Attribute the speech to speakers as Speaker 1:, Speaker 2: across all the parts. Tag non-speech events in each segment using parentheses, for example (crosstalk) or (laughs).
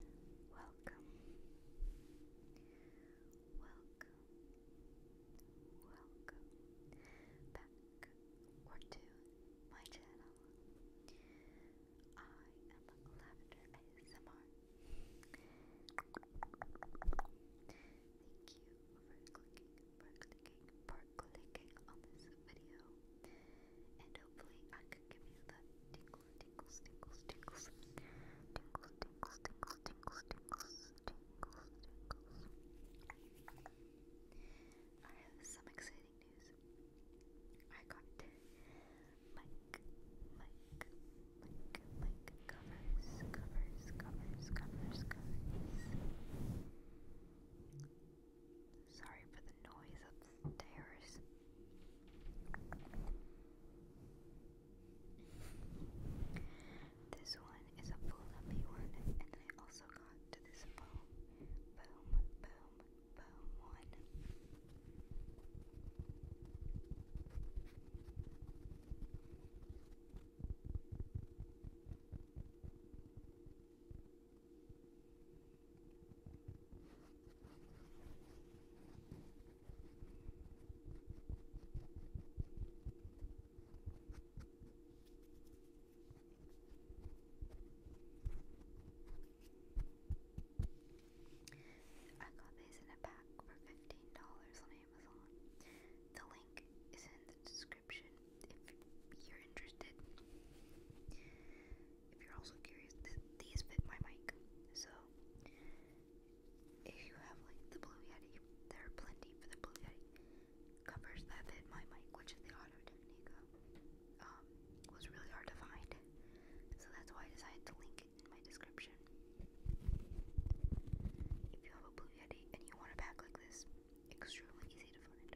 Speaker 1: Welcome, welcome, welcome back or to my channel. I am Lavender ASMR. Thank you for clicking, for clicking, for clicking on this video, and hopefully I could give you the tingly, tingles, tingles, tingles, tingles, tingles, tingles, tingles, tingles, I have some exciting news. I got Mike, Mike, Mike, Mike covers, covers, covers, covers, covers. Sorry for the noise upstairs. This one is a full lovely one, and I also got to this boom, boom, boom, boom one. I got these in a pack for $15 on Amazon. The link is in the description if you're interested if you're also curious, th these fit my mic. So if you have like the Blue Yeti, there are plenty for the Blue Yeti covers that fit my mic, which is the Auto Technica. Um, was really hard to find, so that's why I decided to link it in my description. If you have a Blue Yeti and you want a pack like this, extremely easy to find.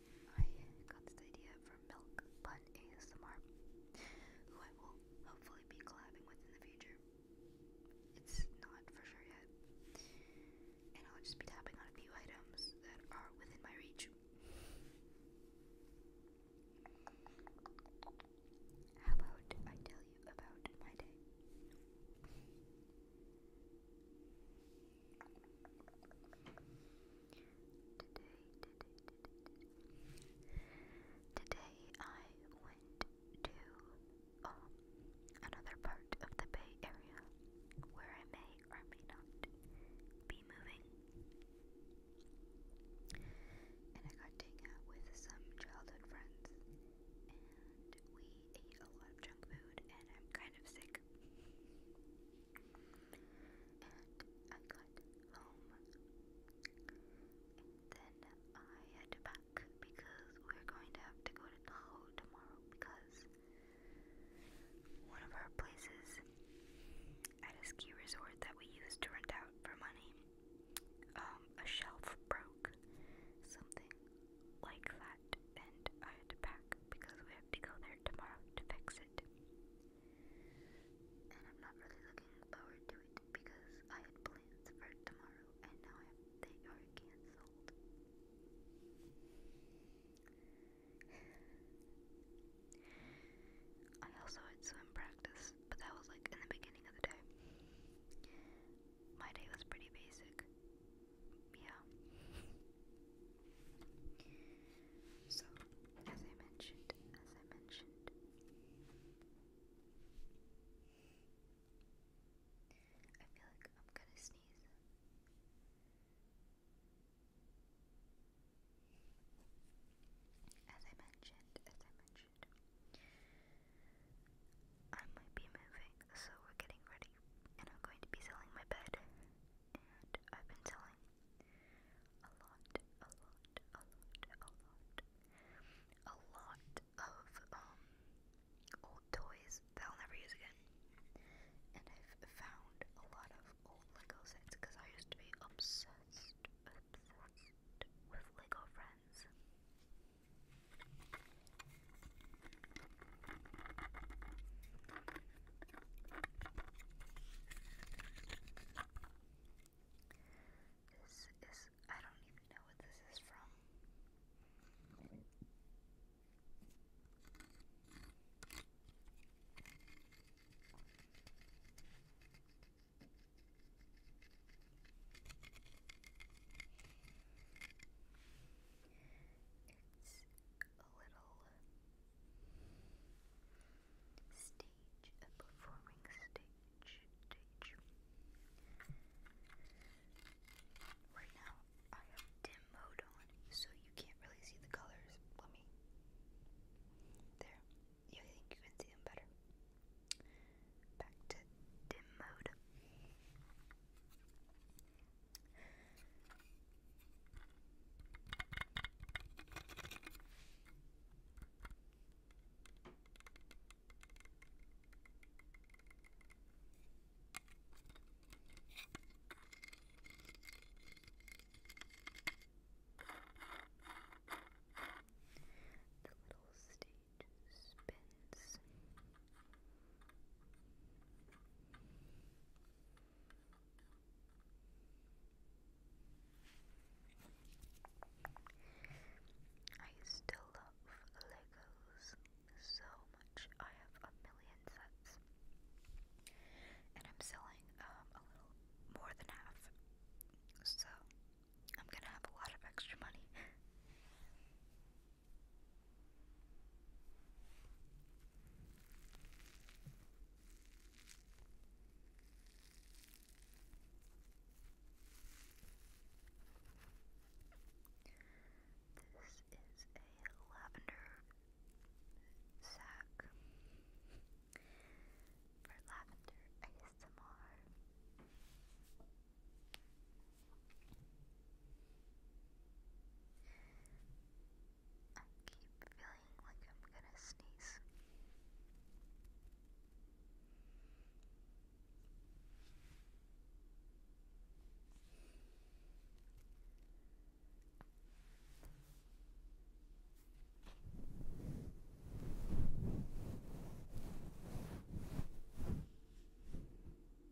Speaker 1: I got this idea from Milk Bun ASMR, who I will hopefully be collabing with in the future. It's not for sure yet. And I'll just be tapping on a few items that are within my reach. How about I tell you about my day? today, today I went to um, another part of the Bay Area where I may or may not be moving, and I got to with some childhood friends, and we ate a lot of junk food, and I'm kind of sick. I got home then I had to because we're going to have to go to Tahoe tomorrow because one of our places at a ski resort that we use to rent out for money, um, a shelf broke, something like that and I had to pack because we have to go there tomorrow to fix it. And I'm not really looking forward to it because I had plans for tomorrow and now I have, they are cancelled. I also had swim practice, but that was like in the beginning of the day. My day was pretty basic yeah. so, as I mentioned, as I mentioned, I feel like I'm gonna sneeze. As I mentioned, as I mentioned, I might be moving so we're getting ready, and I'm going to be selling my bed. And I've been selling a lot, a lot, a lot, a lot, a lot of um old toys that I'll never use again. And I've found a lot of old Lego sets because I used to be obsessed, with Lego Friends. This is, I don't even know what this is from. It's a little uh, stage, a performing stage, stage. Right now, I have dim mode on, so you can't really see the colors. Let me. There. You think you can see them better? Back to dim mode. The little stage spins. I still love Legos so much. I have a million sets. And I'm selling um, a little more than half. So I'm gonna have a lot of extra money. (laughs) This is a lavender sack for lavender ASMR. I keep feeling like I'm gonna sneeze. Back to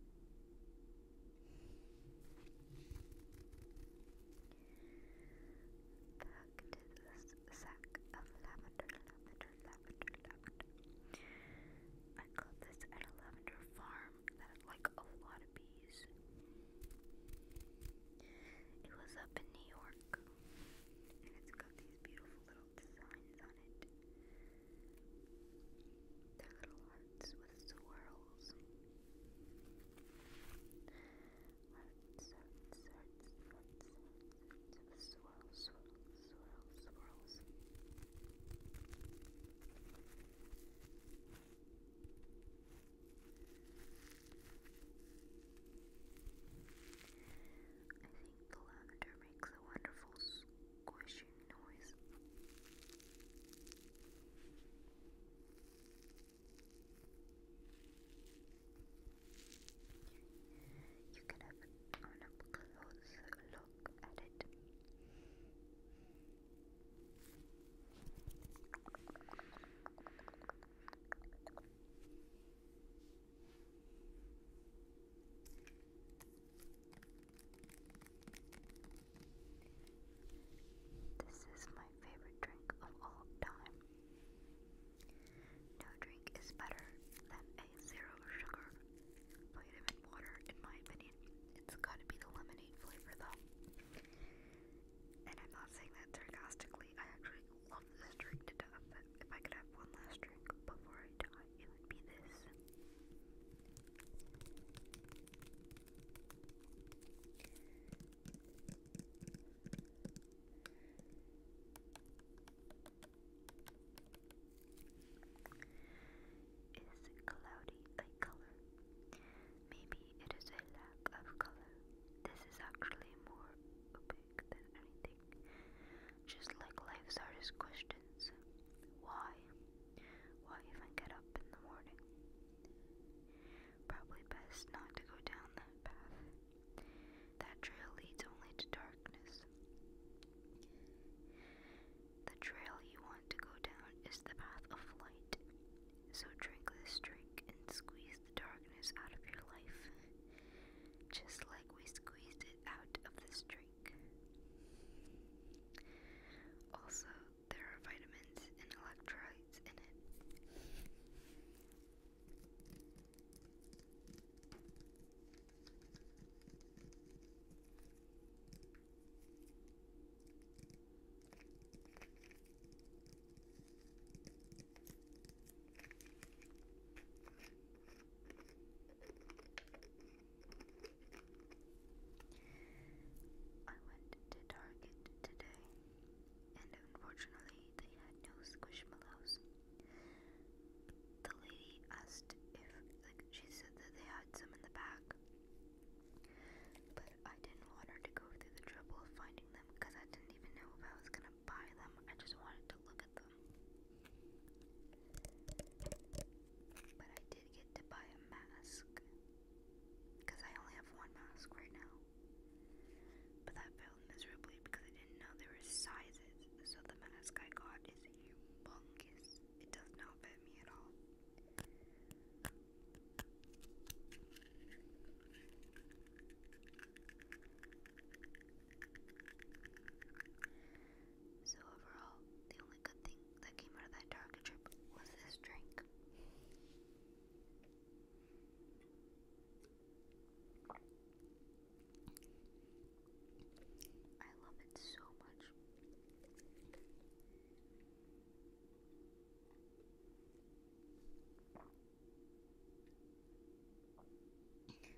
Speaker 1: I got this at a lavender farm that had like a lot of bees. It was up in New York. And it's got these beautiful little designs on it their little hearts with swirls. Hearts, hearts, hearts, swirls, swirls, swirls, swirls. I think the lavender makes a wonderful squishing noise. You can have an close look at it. This is my favorite drink of all time. No drink is better than a zero sugar vitamin water, in my opinion. It's gotta be the lemonade flavor, though. And I'm not saying that sarcastically, I actually love this drink to death. If I could have one last drink before I die, it would be this. Is cloudy a color? Maybe it is a lack of color. This is actually more opaque than anything. Just like life's hardest questions. Why? Why even get up in the morning? Probably best not to go down that path. That trail leads only to darkness. The trail you want to go down is the path of light. So drink this drink and squeeze the darkness out of your life. Just like we squeezed it out of this drink. Also, there are vitamins and electrolytes in it. I went to Target today, and unfortunately, they had no squishmallows. The lady asked if, like, she said that they had some in the back, but I didn't want her to go through the trouble of finding them because I didn't even know if I was gonna buy them. I just wanted to look at them. But I did get to buy a mask. Because I only have one mask right now. But that failed miserably because I didn't know there were sizes. So the mask I got is humongous. It does not fit me at all. So overall, the only good thing that came out of that target trip was this drink. I love it so much. I just want to thank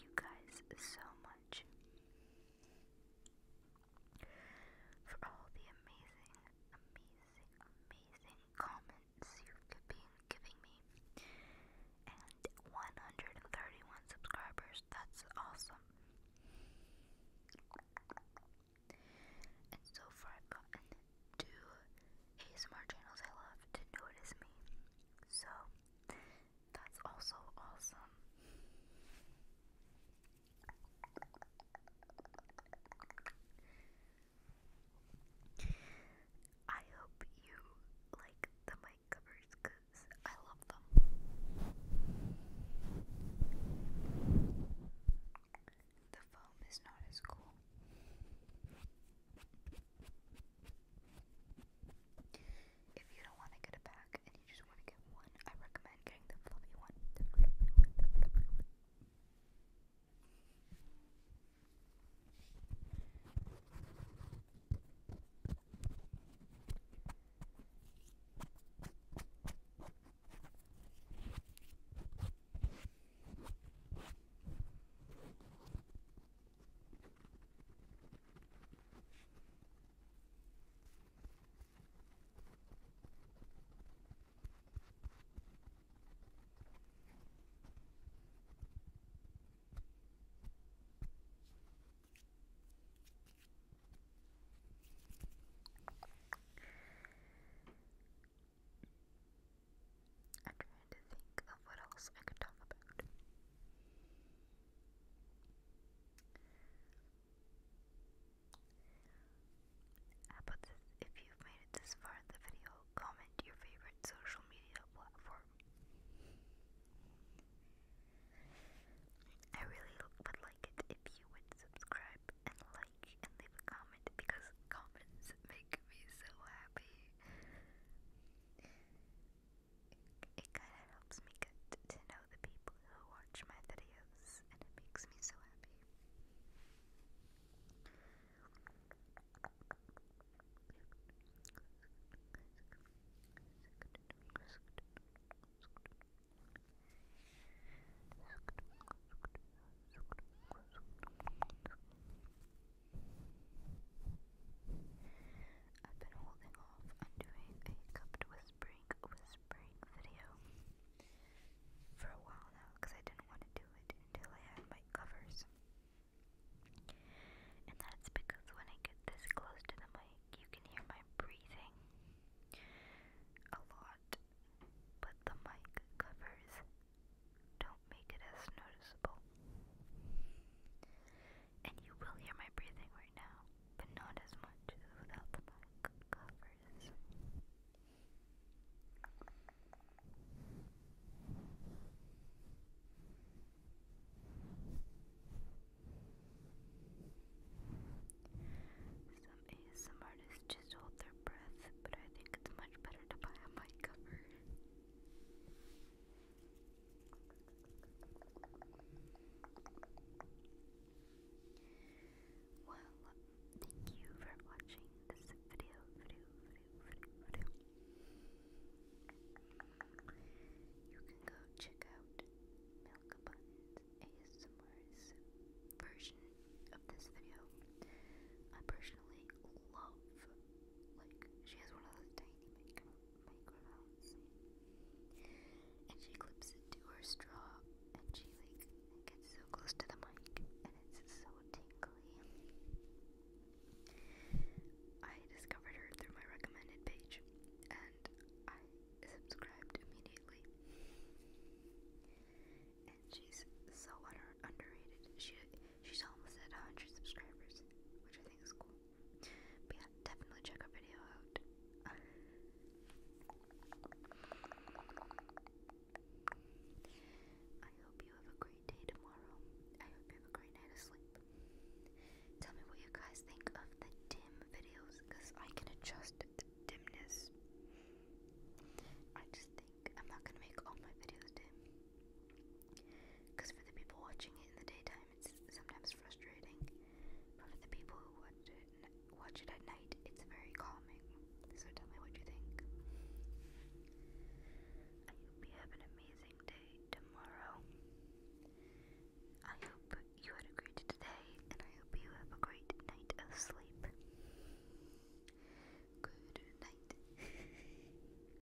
Speaker 1: you guys so much for all the amazing, amazing, amazing comments you've been giving me. And 131 subscribers, that's awesome. And so far, I've gotten two ASMR channels I love to notice me. So, that's also awesome. I hope you like the mic I love them. The foam is not as cool. If you don't want to get it back, snack and you just want to get one, I recommend getting the fluffy one. The fluffy one, the fluffy one. I'm trying to think of what else I could talk about. About if you made it this far in the video, comment your favorite social media platform. I really would like it if you would subscribe and like and leave a comment because comments make me so happy it, it kind of helps me get to know the people who watch my videos, and it makes me so happy. I've been holding off on doing a cupped whispering whispering video for a while now because I didn't want to do it until I had my covers. And that's because when I get this close to the mic, you can hear my breathing a lot, but the mic covers don't make it as noticeable and you will hear my breathing right now, but not as much without the mic covers. Some ASM artists just hold their breath, but I think it's much better to buy a mic cover. Well, thank you for watching this video, You can go check out Milk Abundant ASMR's version of this video. I personally love, like, she has one of those tiny makeup microphones. And she clips it to her straw and she like gets so close to the mic and it's so tingly. I discovered her through my recommended page and I subscribed immediately. And she's so under underrated. She she's almost at 100 subscribers, which I think is cool yeah, definitely check our video out. I hope you have a great day tomorrow. I hope you have a great night of sleep. Tell me what you guys think of the dim videos because I can adjust the dimness. I just think I'm not gonna make all my videos dim. Because for the people watching it in the daytime, it's sometimes frustrating, but for the people who watch it, watch it at night, it's very calming. So tell me what you think. I hope you have an amazing day tomorrow. I hope you had a great day, and I hope you have a great night of sleep. Good night. (laughs)